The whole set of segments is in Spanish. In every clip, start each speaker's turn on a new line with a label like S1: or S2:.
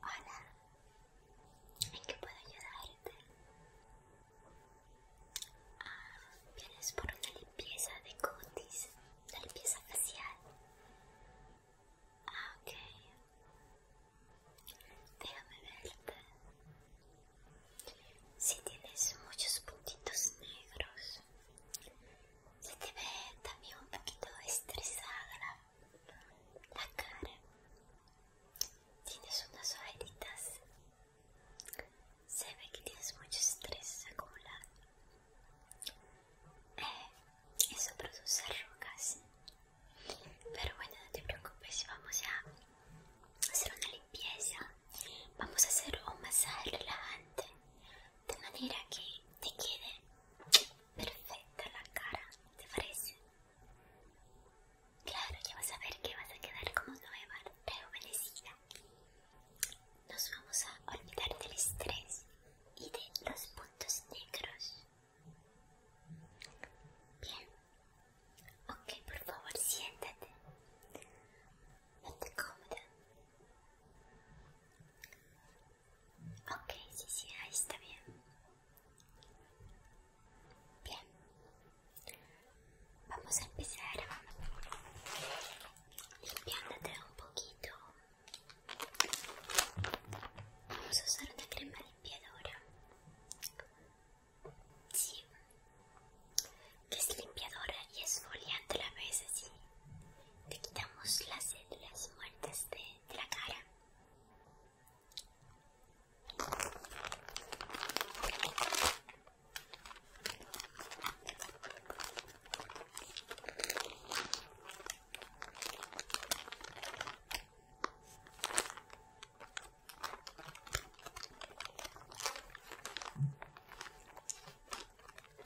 S1: Hola, ¿en qué puedo ayudarte? Ah, vienes por una limpieza de cutis, la limpieza facial. Ah, ok. Déjame verte. Si tienes muchos puntitos negros, se te ve también un poquito estresada la cara. Tienes unas ojeritas. Se ve que tienes mucho estrés acumulado. Eh, eso produce arrugas. Pero bueno, no te preocupes, vamos a hacer una limpieza. Vamos a hacer un masaje relajante de manera que te quede perfecta la cara, ¿te parece? Claro, ya vas a ver que vas a quedar como nueva, rejuvenecida. Nos vamos a olvidar del estrés y de los puntos negros. Bien. Ok, por favor, siéntate. te cómoda. Ok, sí, sí, ahí está bien. Bien. Vamos a empezar limpiándote un poquito. Vamos a usar una crema limpiadora. Sí. Que es limpiadora y esfoliante a la vez sí te quitamos las células muertas de la cara.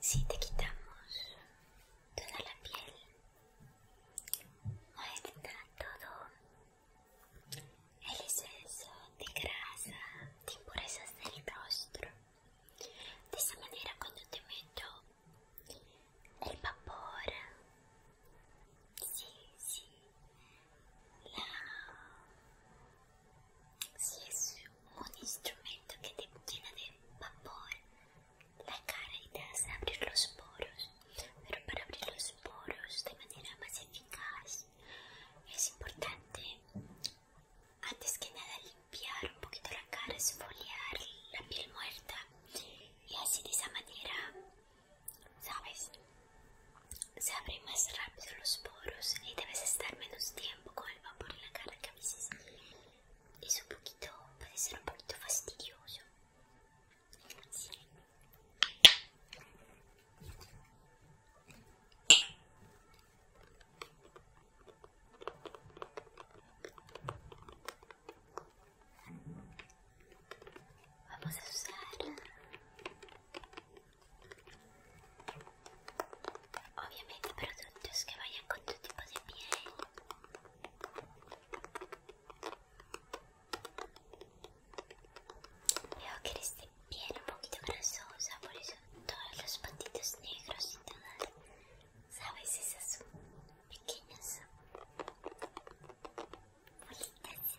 S1: Si te quitamos toda la piel, a quitar todo el exceso de grasa, de impurezas del rostro. De esa manera, cuando te meto el vapor, sí, sí, la si es un instrumento que te llena de vapor la cara y te hace abrir los poros, pero para abrir los poros de manera más eficaz es importante antes que nada limpiar un poquito la cara, esfoliar la piel muerta y así de esa manera, ¿sabes? Se abren más rápido los poros y debes estar menos tiempo con el vapor en la cara que a veces es un poquito, puede ser un poquito fastidioso. Vamos a usar Obviamente productos que vayan con tu tipo de piel. Veo que este de piel un poquito grasosa, por eso todos los patitos negros y todas, ¿sabes? Esas pequeñas bolitas.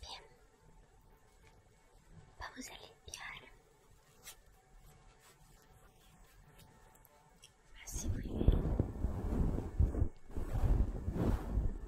S1: Bien, vamos a limpiar. Así muy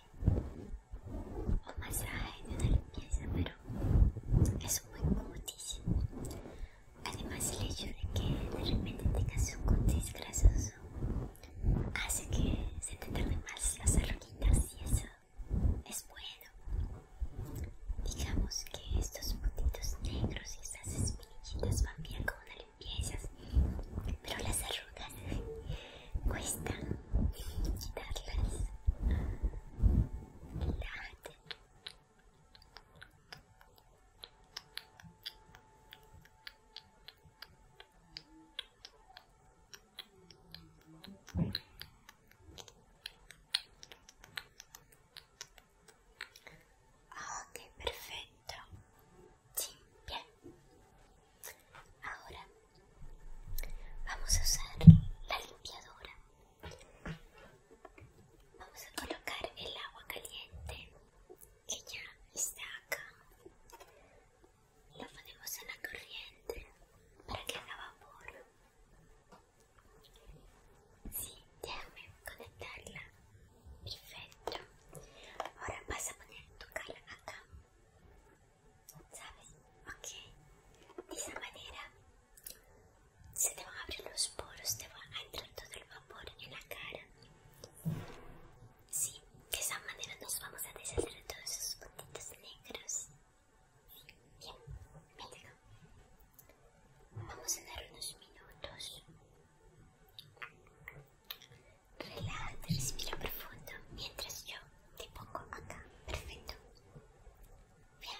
S1: o masaje de una limpieza, pero es muy cutis. Además, el hecho de que de repente tengas un cutis grasoso hace que se te tarden más las arruguitas y eso es bueno. Digamos que estos puntitos negros y estas espinillitas van bien con una piezas, pero las arrugas cuesta quitarlas. Ah, Ok, perfecto. Ahora vamos a usar la limpiadora. Vamos a colocar el agua caliente que ya está acá. lo ponemos en la corriente para que haga vapor. Sí, déjame conectarla Perfecto. Ahora vas a poner tu cara acá. ¿Sabes? Ok. De esa manera se te van a abrir los poros, te va a entrar todo el vapor en la cara. Sí, de esa manera nos vamos a deshacer todos esos puntitos negros. Bien, Vamos a dar unos minutos. Relájate, respira profundo mientras yo te pongo acá. Perfecto. Bien.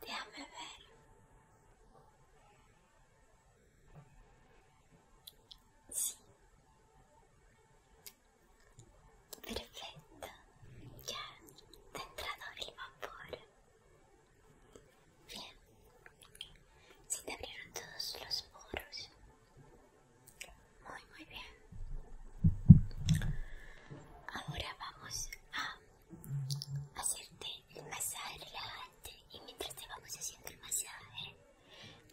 S1: Déjame ver. Sí. Perfecto. Ya te ha entrado el vapor. Bien. Si te abrieron todos los poros. Muy, muy bien. Ahora vamos a hacerte el masaje relajante y mientras te vamos haciendo el masaje, ¿eh?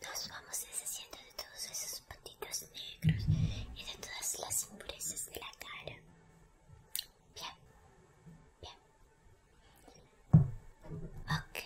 S1: nos vamos deshaciendo de todos esos puntitos negros y de todas las impurezas de la cara. Bien, bien. Ok.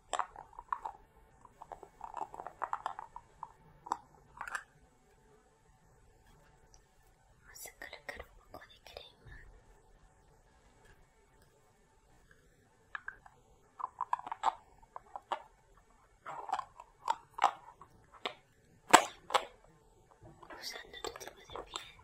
S1: Vamos a cargar un poco de crema. usando tu tipo de piel.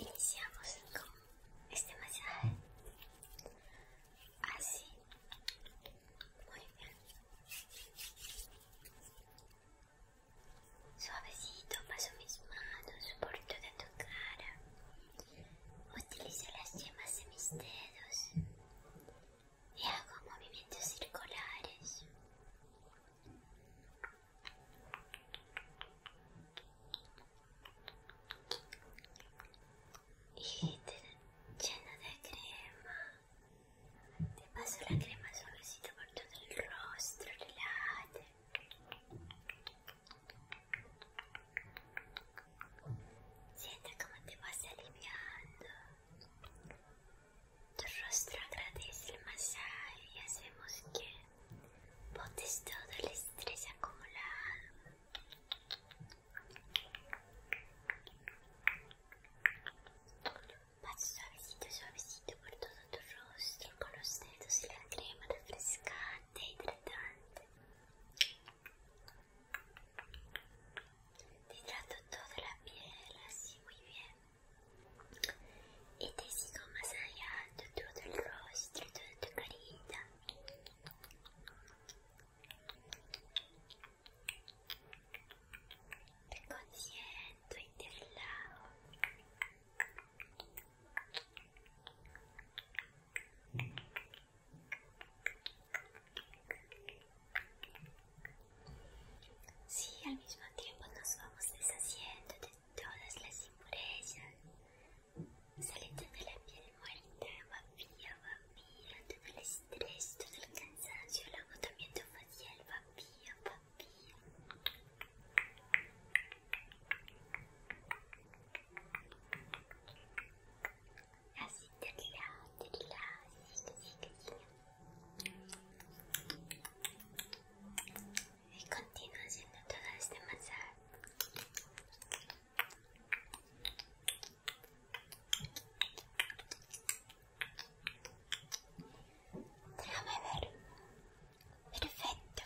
S1: Iniciamos con este masaje. Así. Muy bien. Suavecito paso mis manos por toda tu cara. Utilizo las yemas de mis dedos y hago movimientos circulares. Y te lleno de crema. Te paso la crema suavecito por todo el rostro, relájate. Siente como te vas aliviando. Tu rostro agradece el masaje y hacemos que botes todo el estrés acumulado. vas suavecito, suavecito por todo tu rostro con los dedos y la crema refrescante. Te hidratante. Te hidrato toda la piel así muy bien. Y te sigo masajeando todo el rostro, toda tu carita. Te consiento y te relajo. Sí, al mismo tiempo nos vamos deshaciendo de todas las impurezas, saliendo de la piel muerta, vacía, vacía, todo el estrés, todo el cansancio, el agotamiento facial, va vacía. Así de lado, de lado, así, así, así. Y continúo haciendo todo este masaje. ver. Perfecto.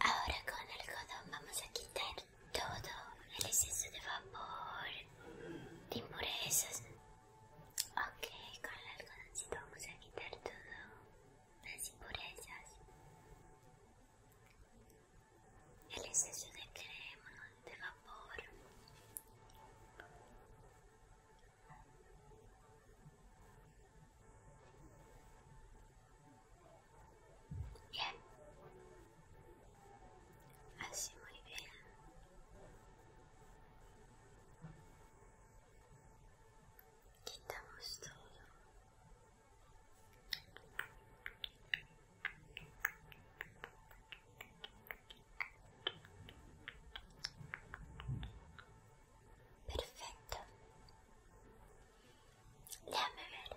S1: Ahora con el algodón vamos a quitar todo el exceso de vapor, de impurezas. Ok, con el algodoncito vamos a quitar todo las impurezas, el exceso de crema, de vapor. Bien. Así muy bien. Quitamos todo. Perfecto. Déjame ver.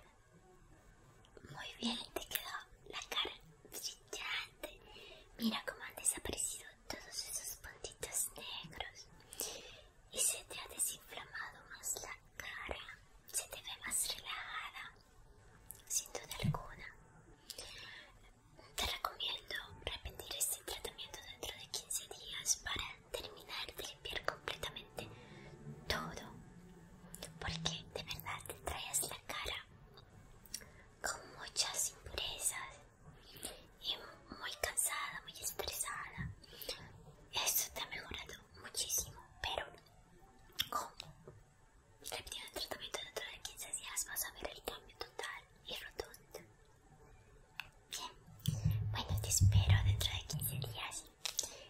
S1: Muy bien, te quedó la cara brillante. Mira cómo han desaparecido todos esos puntitos negros. Y se te ha desinflamado más la cara. Se te ve más relajada. Sin duda alguna. Te recomiendo repetir este tratamiento dentro de 15 días para terminar de limpiar completamente todo. Porque de verdad te traes la cara con muchas impurezas y muy cansada, muy estresada. Esto te ha mejorado muchísimo, pero como repetir el tratamiento dentro de 15 días vas a ver el cambio total y rotundo. Bien, bueno, te espero dentro de 15 días.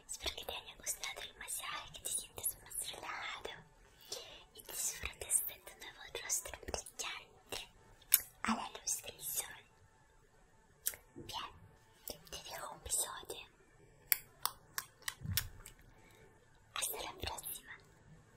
S1: Espero que te haya gustado el masaje, que te sientas más relajado y disfrutes de tu nuevo rostro brillante a la luz del sol. Bien, te dejo un episodio. Hasta la próxima.